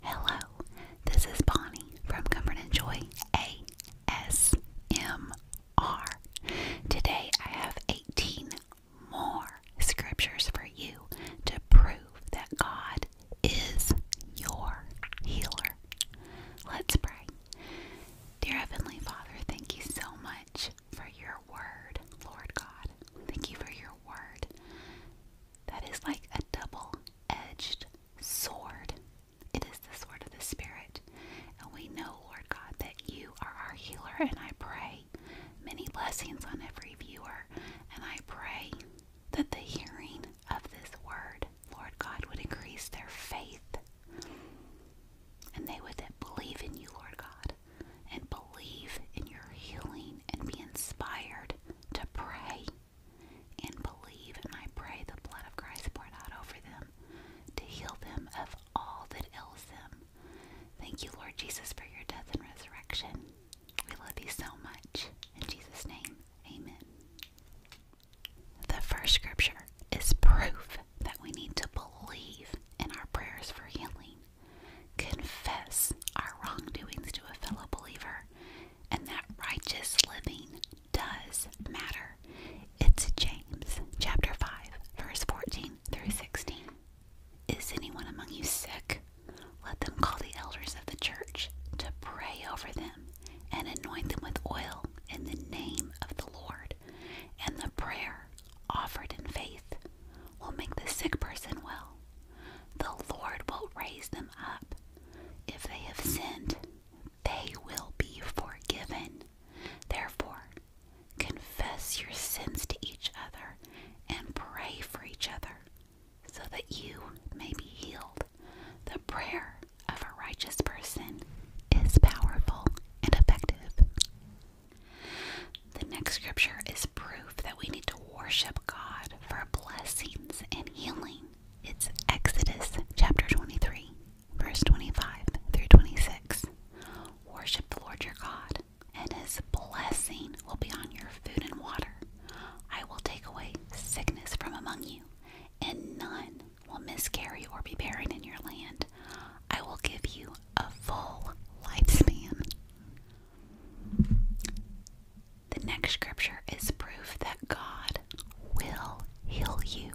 Hello, this is Bonnie from Comfort and Joy ASMR. Today I have 18 more scriptures for you to prove that God is your healer. Let's pray. Dear Heavenly Father, thank you so much for your word, Lord God. Thank you for your word that is like a double edged sword. It is the sword of the Spirit. And we know, Lord God, that you are our healer. And I pray many blessings on every viewer. And I pray that the hearing of this word, Lord God, would increase their faith. And they would believe in you, Lord God, and believe in your healing and be inspired to pray and believe, and I pray the blood of Christ poured out over them to heal them of all that ails them. Thank you, Lord Jesus, for your death and resurrection. We love you so much. In Jesus' name, amen. The first scripture is proof that we need to believe in our prayers for healing, confess our wrongdoings to a fellow believer, and that righteous living does matter. It's James chapter 5, verse 14 through 16. Is anyone among you sick? Let them call the elders of the church to pray over them and anoint them with oil in the name of the Lord. And the prayer offered in faith will make the sick person well, the Lord will raise them up. If they have sinned, they will be forgiven. Therefore, confess your sins to each other and pray for each other so that you may be healed. The prayer of a righteous person is powerful and effective. The next scripture is proof that we need to worship God for blessings and healing. It's Exodus chapter 23, verse 25 through 26. Worship the Lord your God, and his blessing will be on your food and water. I will take away sickness from among you, and none will miscarry or be barren in your land. I will give you a full lifespan. The next scripture is proof that God will heal you.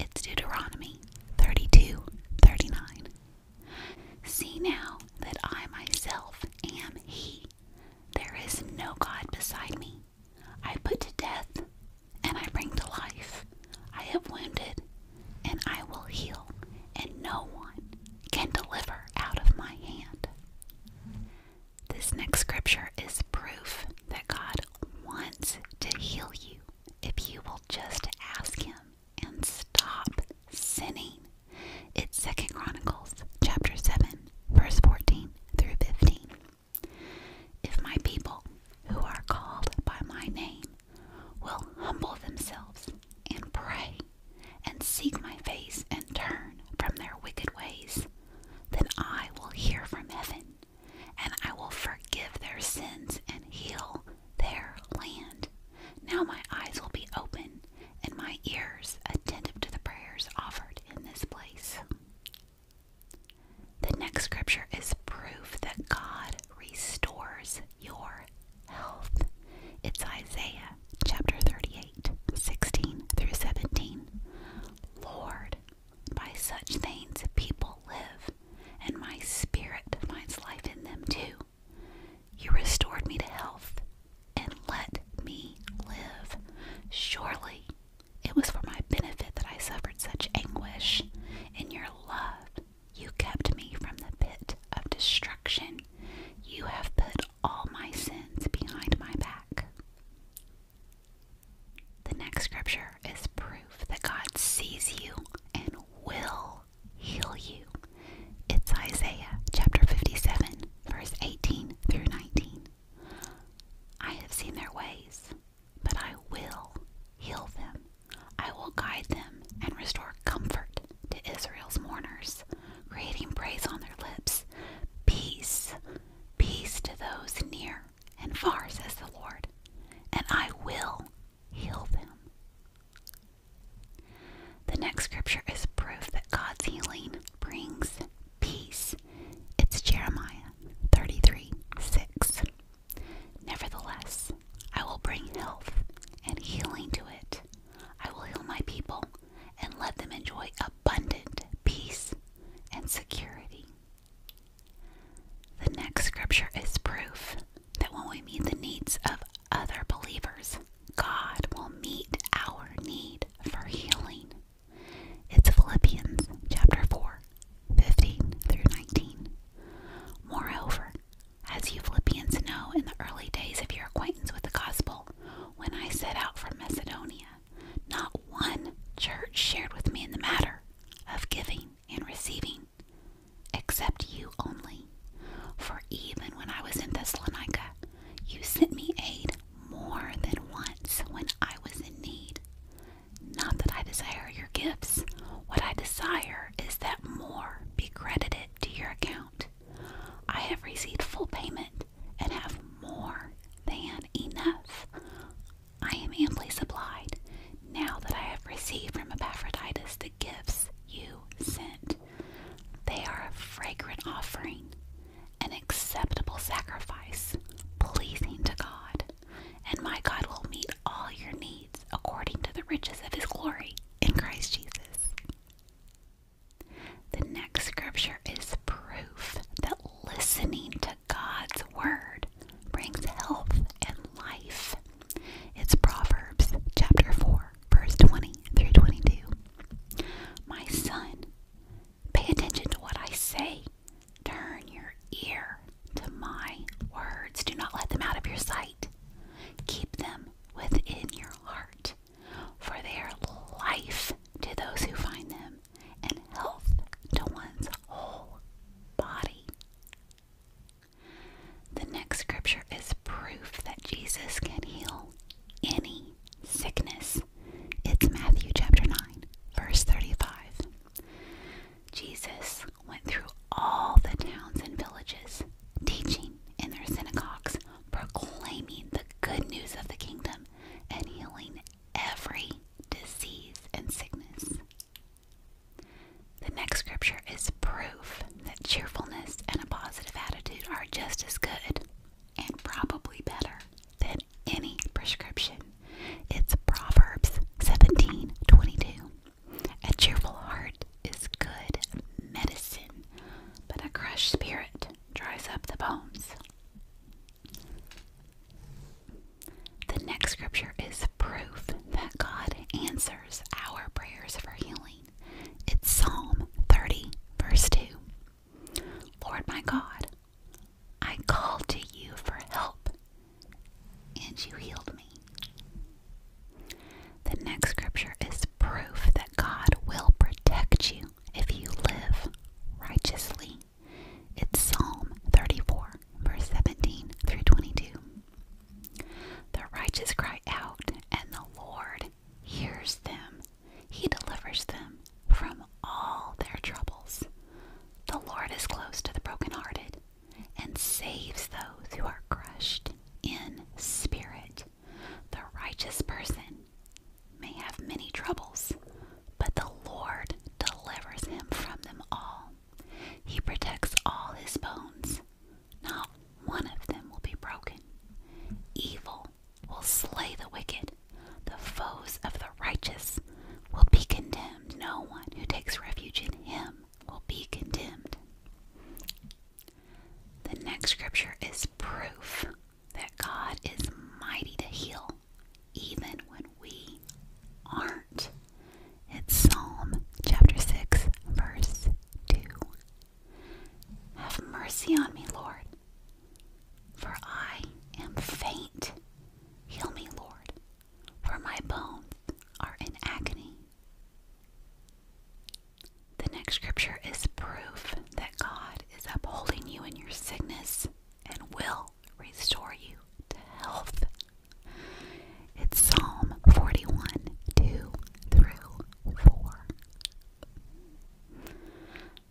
It's Deuteronomy 32 39. See now that I myself am He. There is no God beside me. I put to death and I bring to life. I have wounded and I will heal, and no one can deliver out of my hand. This next scripture is proof that God wants to heal you if you will just ask Him and stop sinning. It's Second Chronicles chapter 7, verse 14 through 15. If my people who are called by my name will humble themselves and pray and seek my face and turn from their wicked ways, then I will hear from heaven, and I will forgive their sins and heal their land. Now my eyes will be open, and my ears attentive to the prayers offered in this place. The next scripture is proof that God restores your health. It's Isaiah chapter 38, 16 through 17. Lord, by such things people live, and my spirit finds life in them too. You restored me to health and let me live. Surely it was for my benefit that I suffered such anguish. In your love, you kept me from the pit of destruction. You have put all my sins behind my back. The next scripture is proof that God sees you and will heal you. It's Isaiah chapter 57, verse 18 through 19. I have seen their ways, but I will heal them. I will guide them and restore comfort to Israel's mourners, creating praise on their lips. Peace, peace to those near and far, says the Lord, and I will heal them. The next scripture is proof that God's healing brings peace. It's Jeremiah 33 6. Nevertheless, I will bring health and healing to it. I will heal my people, and let them enjoy abundant peace and security. The next scripture is proof that when we meet the needs of other believers, God will meet our need for healing. It's Philippians chapter 4, 15 through 19. Moreover, as you Philippians know in the early days of your acquaintance with the gospel, when I set out from Macedonia. Not one church shared with me in the matter of giving and receiving, except you only. For even when I was in Thessalonica, you sent me aid more than once when I was in need. Not that I desire your gifts. What I desire is that more be credited to your account. I have received full payment and have more than enough. I am amply supplied now that I have received from Epaphroditus the gifts you sent. They are a fragrant offering, an acceptable sacrifice, pleasing to God, and my God will meet all your needs according to the riches of his glory in Christ Jesus. The next scripture is proof that listening to God's word brings health and life. It's Proverbs chapter 4, verse 20 through 22. My son, pay attention to what I say. Turn your ear to my words. Do not let them out of your sight. Keep them within your heart, for they are life to those who find them, and health to one's whole body. The next scripture is proof that Jesus can heal any sickness. It's Matthew chapter 9, verse 35. Jesus went through all the towns and villages, teaching in their synagogues, proclaiming the good news of the kingdom, and healing every disease and sickness. The next scripture is proof that cheerfulness and a positive attitude are just as good and probably better than any prescription. It's Proverbs 17 22. A cheerful heart is good medicine, but a crushed spirit dries up the bones. The next scripture is proof that God answers our prayers for healing. It's Psalm 30, verse 2. Lord my God, I called to you for help, and you healed me. The next scripture is proof that God will protect you if you live righteously. It's Psalm 34, verse 17 through 22. The righteous cry out, and the Lord hears them. He delivers them from all their troubles. The Lord is close to the brokenhearted and saves those who are crushed in spirit the righteous person may have many troubles, but the Lord delivers him from them all. He protects all his bones. Not one of them will be broken. Evil will slay the wicked. The foes of the righteous will be condemned. No one who takes refuge in him will be condemned. The next scripture is proof that God is mighty to heal, even when we aren't. It's Psalm chapter 6, verse 2. Have mercy on me, Lord, for I am faint. Heal me, Lord, for my bones are in agony. The next scripture is proof that God is upholding you in your sickness and will restore you to health. It's Psalm 41 2 through 4.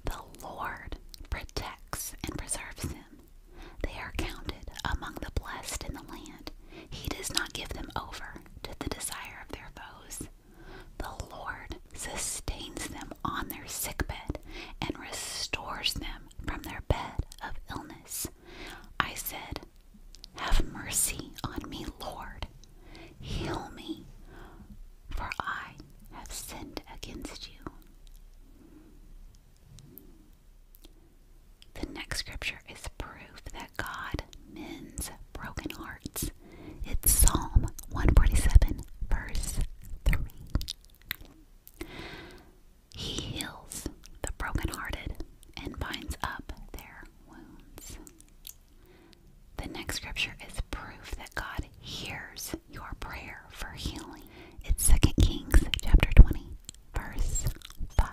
The Lord protects and preserves them. They are counted among the blessed in the land. He does not give them over to the desire of their foes. The Lord sustains them on their sickbed and restores them from their bed of illness. I said, Have mercy on me, Lord. Heal me, for I have sinned against you. The next scripture is proof God mends broken hearts. It's Psalm 147, verse 3. He heals the brokenhearted and binds up their wounds. The next scripture is proof that God hears your prayer for healing. It's 2 Kings chapter 20, verse 5.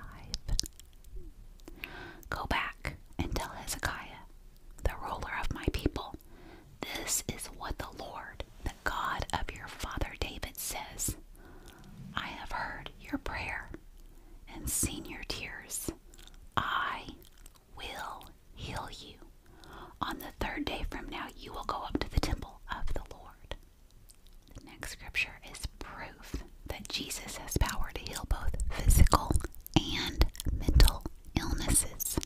Go back and tell Hezekiah, the ruler of my people, this is what the Lord, the God of your father David, says I have heard your prayer and seen your tears. I will heal you. On the third day from now, you will go up to the temple of the Lord. The next scripture is proof that Jesus has power to heal both physical and mental illnesses.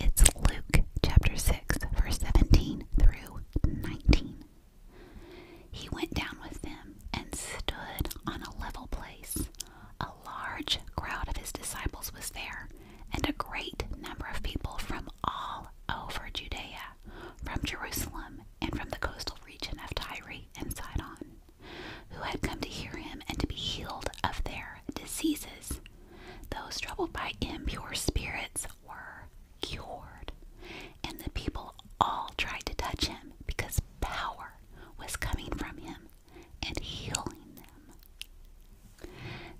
It's Luke chapter 6, verse 17 through 19. He went down with them and stood on a level place. A large crowd of his disciples was there, and a great number of people from all over Judea, from Jerusalem, and from the coastal region of Tyre and Sidon who had come to hear him and to be healed of their diseases. Those troubled by impure spirits were cured, and the people all tried to touch him because power was coming from him and healing them.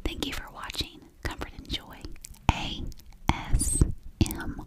Thank you for watching Comfort and Joy ASMR.